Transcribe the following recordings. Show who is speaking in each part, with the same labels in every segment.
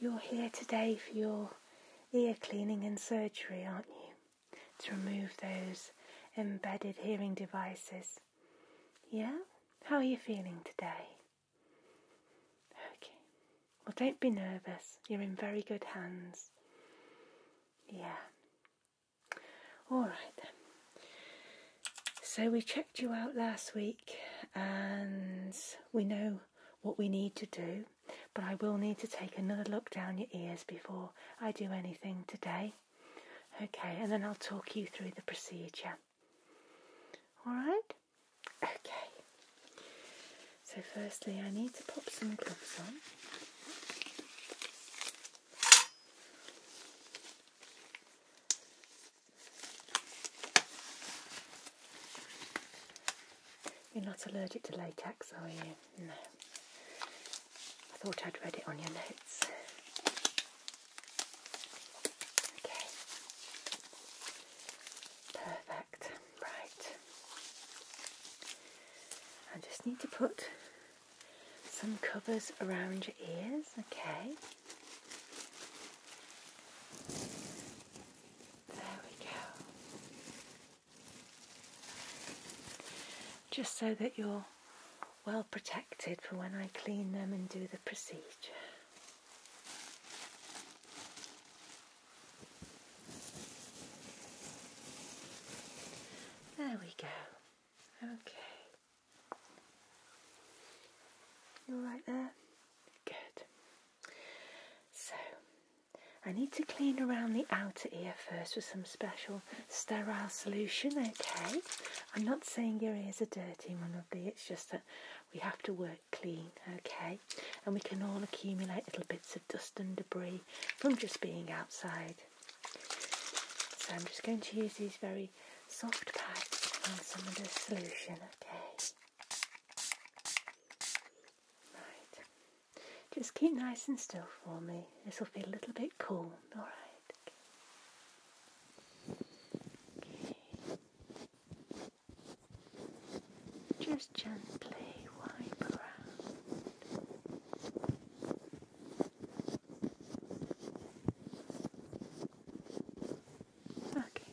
Speaker 1: You're here today for your ear cleaning and surgery, aren't you? To remove those embedded hearing devices. Yeah? How are you feeling today? Okay. Well, don't be nervous. You're in very good hands. Yeah. All right then. So we checked you out last week and we know what we need to do, but I will need to take another look down your ears before I do anything today. Okay, and then I'll talk you through the procedure. All right? Okay. So, firstly, I need to pop some gloves on. You're not allergic to latex, are you? No. I thought I'd read it on your notes. Okay. Perfect. Right. I just need to put some covers around your ears, okay? There we go. Just so that you're well protected for when I clean them and do the procedure. There we go. Okay. You all right there? Good. So I need to clean around the outer ear first with some special sterile solution, okay? I'm not saying your ears are dirty, my it's just that we have to work clean, okay? And we can all accumulate little bits of dust and debris from just being outside. So I'm just going to use these very soft pads and some of the solution, okay? Right. Just keep nice and still for me. This will be a little bit cool, alright? Just gently wipe around. Okay.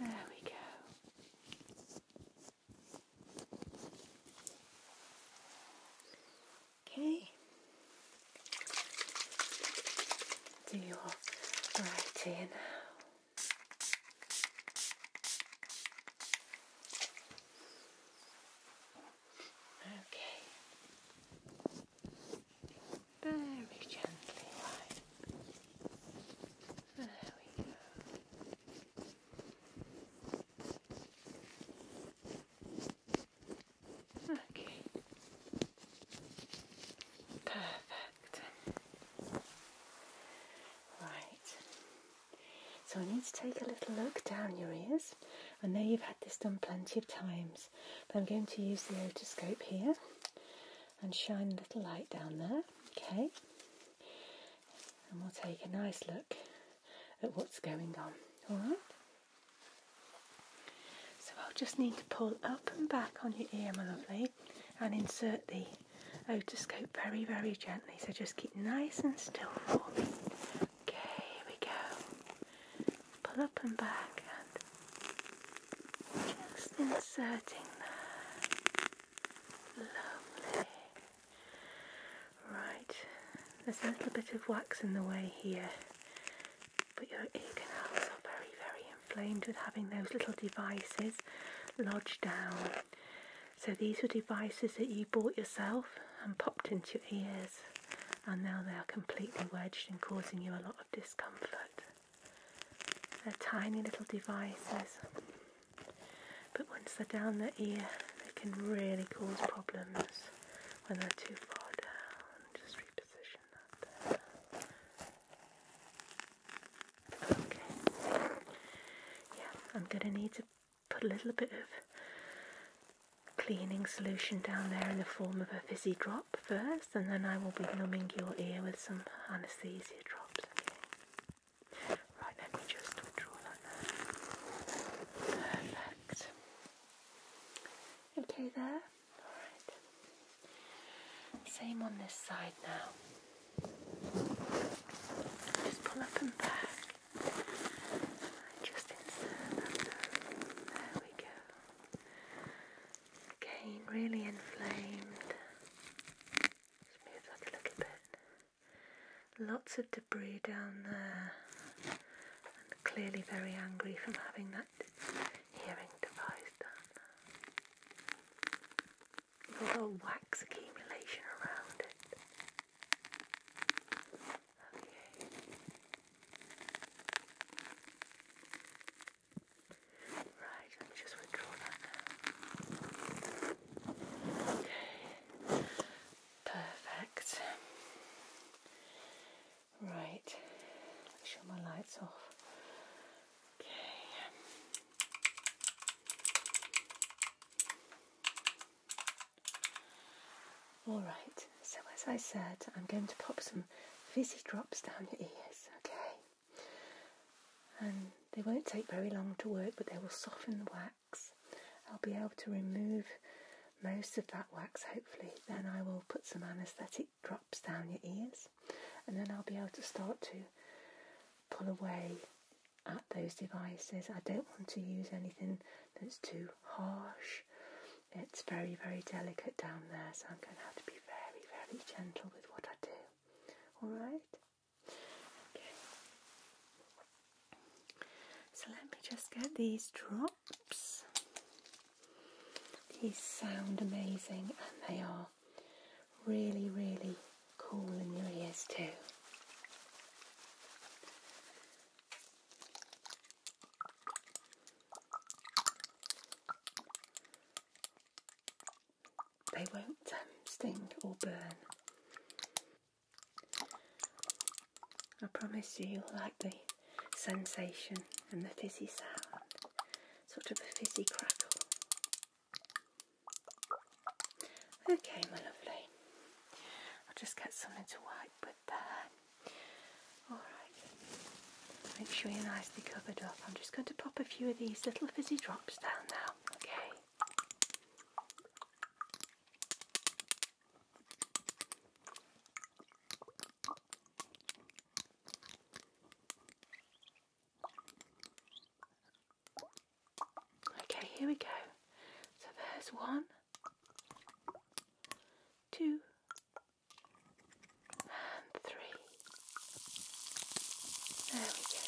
Speaker 1: There we go. Okay. Do your writing now. Okay. Very gently, right? There we go. Okay. Perfect. Right. So I need to take a little look down your ears. I know you've had this done plenty of times, but I'm going to use the otoscope here and shine a little light down there, okay? And we'll take a nice look at what's going on, So I'll just need to pull up and back on your ear, my lovely, and insert the otoscope very, very gently. So just keep nice and still for me. Okay, here we go pull up and back and just inserting there. Lovely. Right, there's a little bit of wax in the way here, but your ear canals are very, very inflamed with having those little devices lodged down. So these were devices that you bought yourself and popped into your ears and now they are completely wedged and causing you a lot discomfort. They're tiny little devices, but once they're down the ear, they can really cause problems when they're too far down. Just reposition that Okay. Yeah, I'm going to need to put a little bit of cleaning solution down there in the form of a fizzy drop first, and then I will be numbing your ear with some anaesthesia drops. Okay. Right, let me just draw that there. Perfect. Okay, there. Alright. Same on this side now. Just pull up and back. Just insert There we go. Again, really inflamed. move that a little bit. Lots of debris down there, and clearly very angry from having that hearing device done. Got all wax accumulation around it. Okay. Right, let me just withdraw that now. Okay, perfect. Right, make sure my light's off. Okay. Alright, so as I said, I'm going to pop some fizzy drops down your ears, okay? And they won't take very long to work, but they will soften the wax. I'll be able to remove most of that wax, hopefully. Then I will put some anaesthetic drops down your ears, and then I'll be able to start to pull away at those devices. I don't want to use anything that's too harsh. It's very, very delicate down there, so I'm going to have to be very, very gentle with what I do. Alright? Okay. So let me just get these drops. These sound amazing and they are really, really cool in your ears too. They won't um, sting or burn. I promise you, you'll like the sensation and the fizzy sound, sort of a fizzy crackle. Okay, my lovely. I'll just get something to wipe with. Alright, make sure you're nicely covered up. I'm just going to pop a few of these little fizzy drops down now, okay? Okay, here we go. So there's one, two, and three. There we go.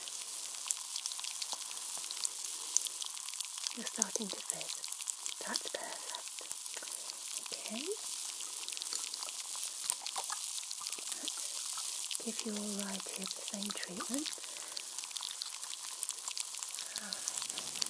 Speaker 1: You're starting to fit. That's perfect. Okay. Let's give you all right here the same treatment.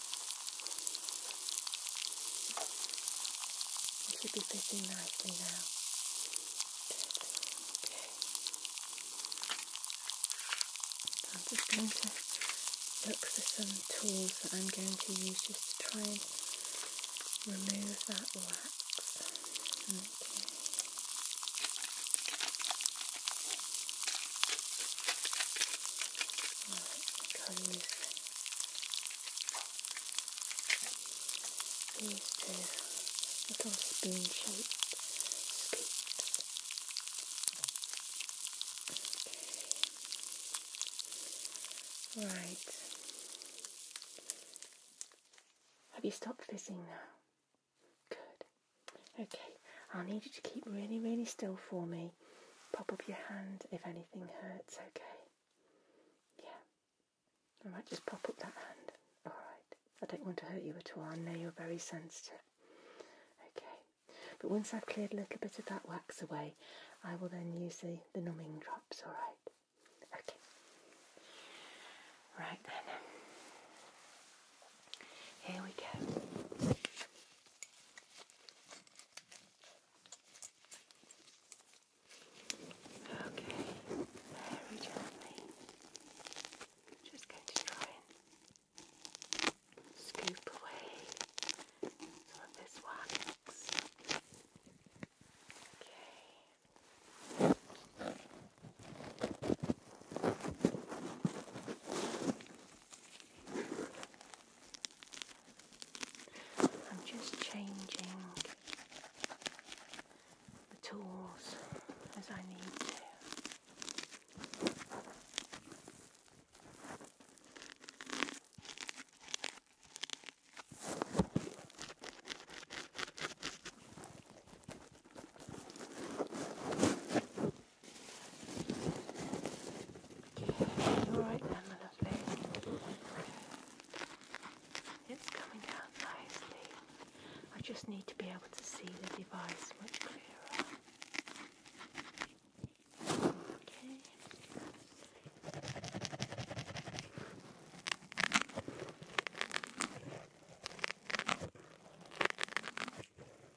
Speaker 1: It should be fitting nicely now. Okay. I'm just going to look for some tools that I'm going to use just to try and remove that wax. Okay use these two little spoon shaped scoops. Okay. Right. Have you stopped fizzing now? Good. Okay, I'll need you to keep really, really still for me. Pop up your hand if anything hurts, okay? Yeah. I just pop up that hand. Alright. I don't want to hurt you at all. I know you're very sensitive. Okay. But once I've cleared a little bit of that wax away, I will then use the, the numbing drops, alright? Okay. Right then. Here we go. Okay, very gently. Just going to try and scoop away some of this wax. Okay. I'm just changing the tools as I need to. All right then, my lovely. It's coming out nicely. I just need to be able to see the device much clearer. Okay.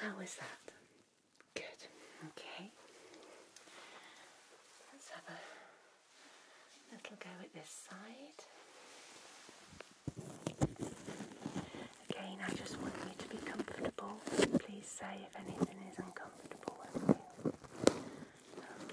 Speaker 1: How is that? Good. Okay. Let's have a little go at this side. Again, I just want you to be comfortable. Please say if anything is uncomfortable, with not you? Okay.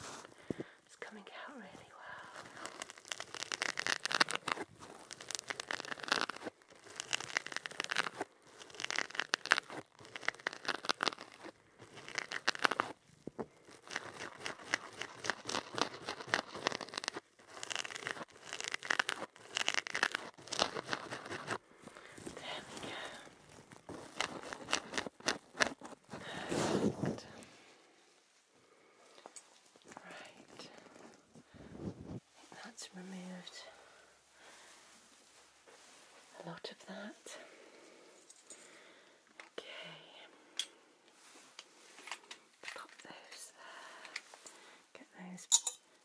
Speaker 1: It's coming out really well. There we go. Perfect. Right. That's removed a lot of that. Okay. Pop those Get those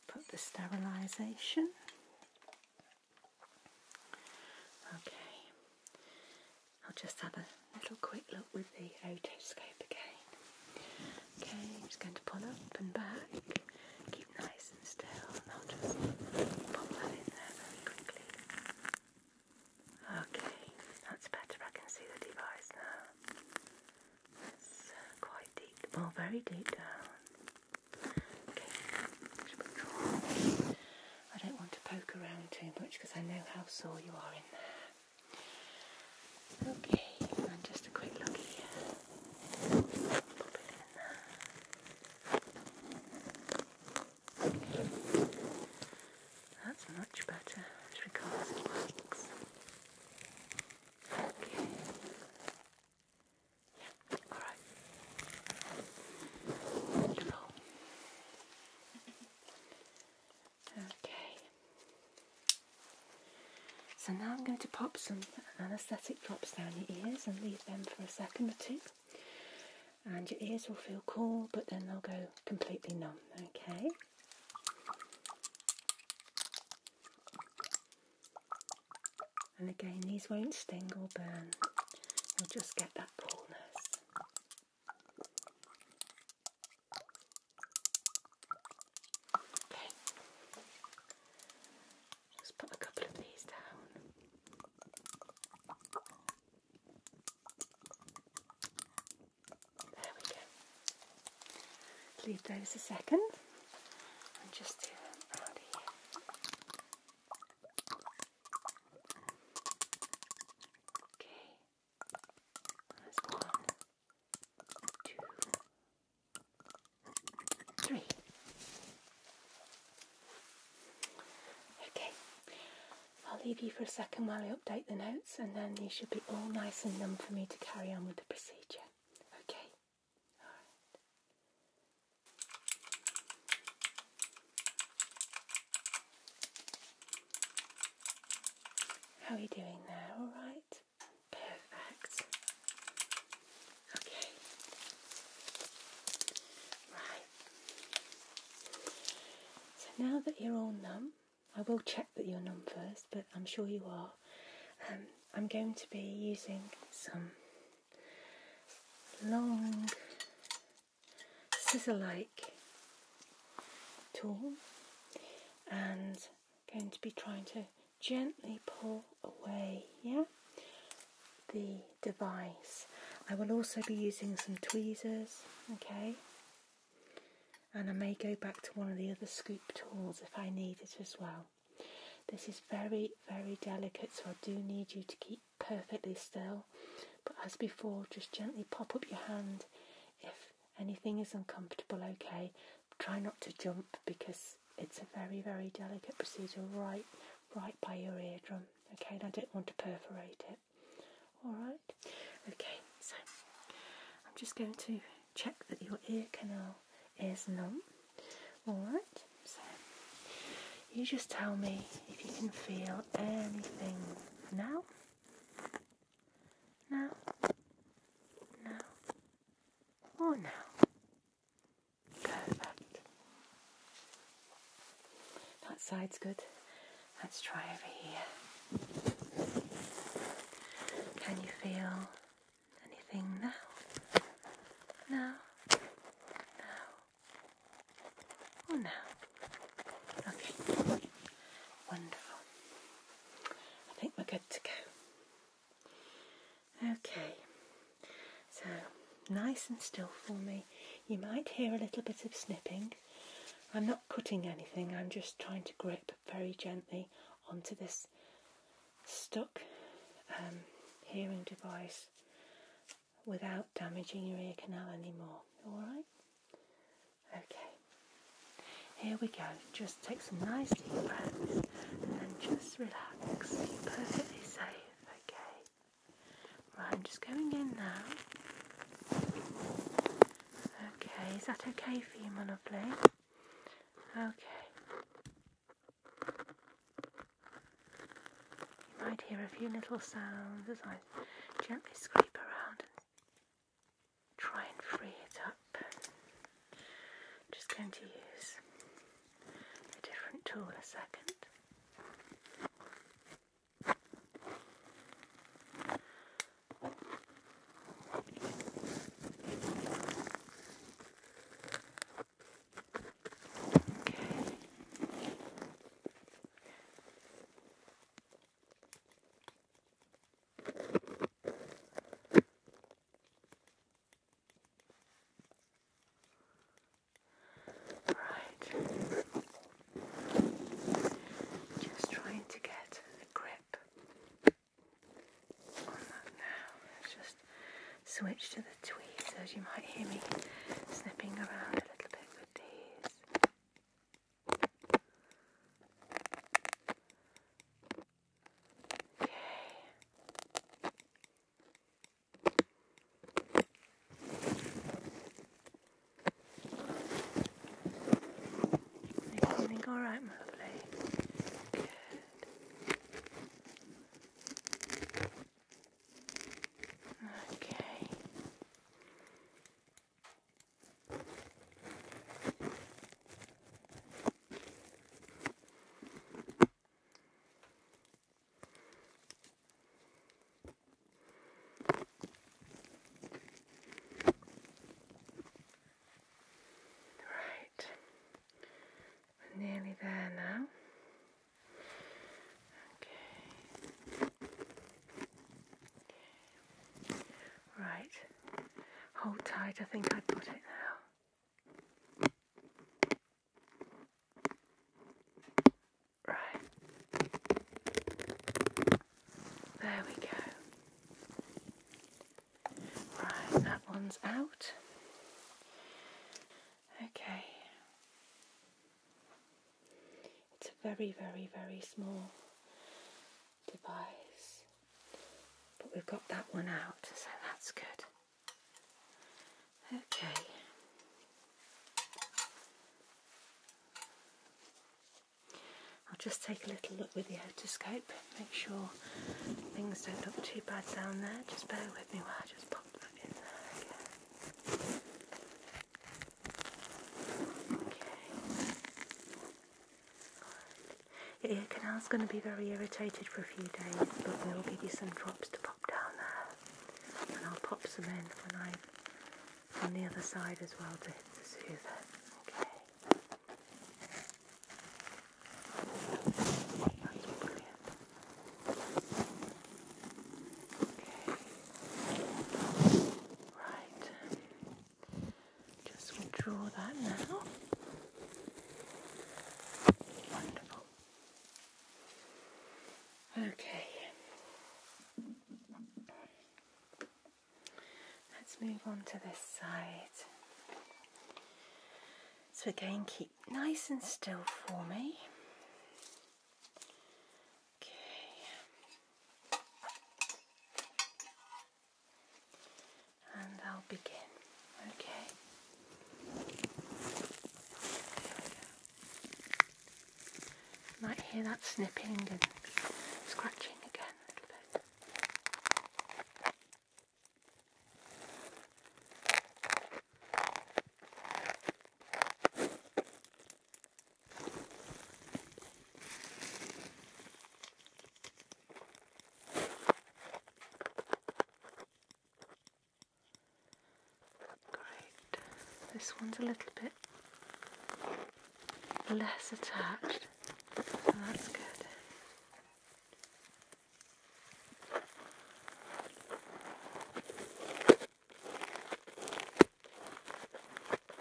Speaker 1: put the sterilization. Okay. I'll just have a little quick look with the otoscope again. Okay, I'm just going to pull up and back. Keep nice and still, and I'll just pop that in there very quickly. Okay, that's better. I can see the device It's uh, quite deep, well, very deep down. Okay, I don't want to poke around too much because I know how sore you are in there. Okay, and just a quick look here. That's much better as regards the wax. Okay. Yeah, alright. Okay. So now I'm going to pop some anaesthetic drops down your ears and leave them for a second or two. And your ears will feel cool, but then they'll go completely numb. Okay. And again, these won't sting or burn. You'll just get that coolness. Just put a couple of these down. There we go. Leave those a second and just do them out here. Okay. one, two, three. Okay. I'll leave you for a second while I update the notes and then you should be all nice and numb for me to carry on with the procedure. Okay? How are you doing there? All right? Perfect. Okay. Right. So now that you're all numb, I will check that you're numb first, but I'm sure you are. Um, I'm going to be using some long scissor-like tool and going to be trying to gently pull away yeah the device I will also be using some tweezers okay and I may go back to one of the other scoop tools if I need it as well this is very very delicate so I do need you to keep perfectly still. But as before, just gently pop up your hand if anything is uncomfortable, okay. Try not to jump because it's a very, very delicate procedure right right by your eardrum. Okay, and I don't want to perforate it. Alright? Okay, so I'm just going to check that your ear canal is numb. Alright, you just tell me if you can feel anything now. Now. Now. Or now. Perfect. That side's good. Let's try over here. Can you feel anything now? Now. Now. Oh no! Okay, wonderful. I think we're good to go. Okay, so nice and still for me. You might hear a little bit of snipping. I'm not cutting anything, I'm just trying to grip very gently onto this stuck um, hearing device without damaging your ear canal anymore. Alright? Okay. Here we go. Just take some nice deep breaths and just relax. You're perfectly safe. Okay. Right, I'm just going in now. Okay, is that okay for you, my Okay. You might hear a few little sounds as I gently scrape around and try and free it up. I'm just going to use a different tool a second. Right. Just trying to get a grip on that now. Let's just switch to the with tweezers. You might hear me snipping around a little bit with these. Okay. Everything all right, my Good. Okay. Right, nearly there now. Right. Hold tight. I think I've got it now. Right. There we go. Right, that one's out. Okay. It's a very, very, very small device, but we've got that one out, so that's good. Okay. I'll just take a little look with the otoscope, make sure things don't look too bad down there. Just bear with me while I just pop that in there Good. Your ear canal's going to be very irritated for a few days, but we'll give you some drops to pop down there. And I'll pop some in when I am on the other side as well to, to soothe it. Okay. Okay. Right. Just withdraw that now. Wonderful. Okay. Let's move on to this side. So again, keep nice and still for me. Okay. And I'll begin. Okay. You might hear that snipping and scratching again a little bit. Great. This one's a little bit less attached, so that's good.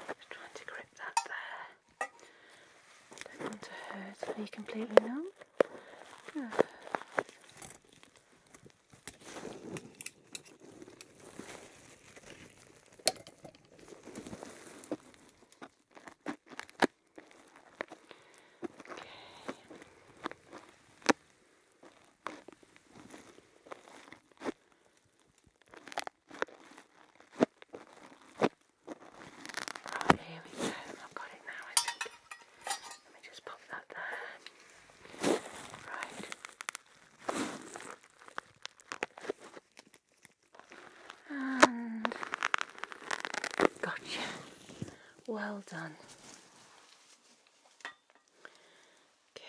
Speaker 1: Just trying to grip that there. Don't want to hurt. Are you completely numb? Yeah. Okay. Right, oh, here we go. I've got it now, I think. Let me just pop that there. Right. And gotcha. Well done. Okay.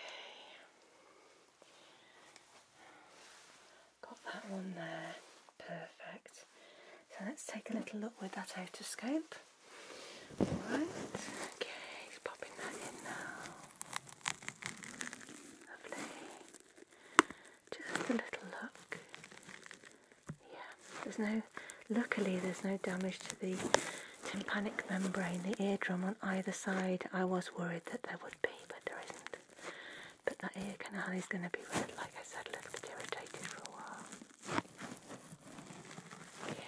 Speaker 1: Got that one there. Perfect. So let's take a little look with that otoscope. Alright. Okay, just popping that in now. Lovely. Just a little look. Yeah. There's no, luckily there's no damage to the tympanic membrane, the eardrum on either side. I was worried that there would be, but there isn't. But that ear canal is going to be red, like I said, a little bit irritated for a while. Okay.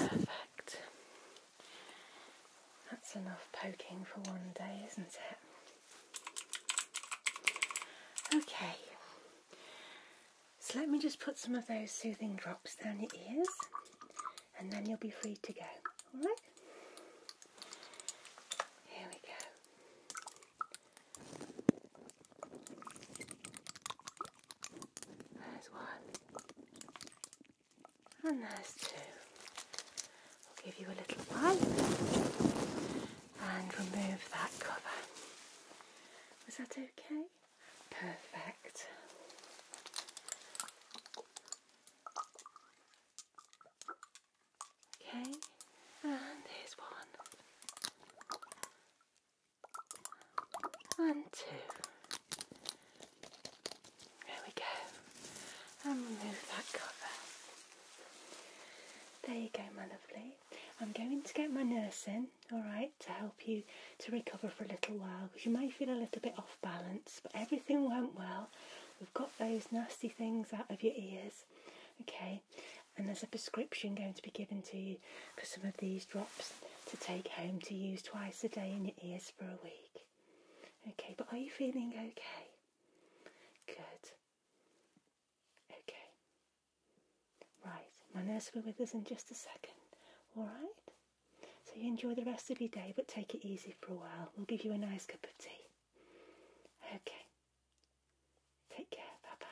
Speaker 1: perfect. That's enough poking for one day, isn't it? Okay, so let me just put some of those soothing drops down your ears and then you'll be free to go. Alright? Here we go. There's one and there's 2 i We'll give you a little wipe and remove that cover. Was that okay? Perfect. Okay, and here's one and two. There we go. And remove that cover. There you go, my lovely. I'm going to get my nurse in, alright, to help you to recover for a little while because you may feel a little bit off balance, but everything went well. We've got those nasty things out of your ears, okay? And there's a prescription going to be given to you for some of these drops to take home to use twice a day in your ears for a week. Okay, but are you feeling okay? Good. Okay. Right, my nurse will be with us in just a second. Alright? So you enjoy the rest of your day, but take it easy for a while. We'll give you a nice cup of tea. Okay. Take care. Bye bye.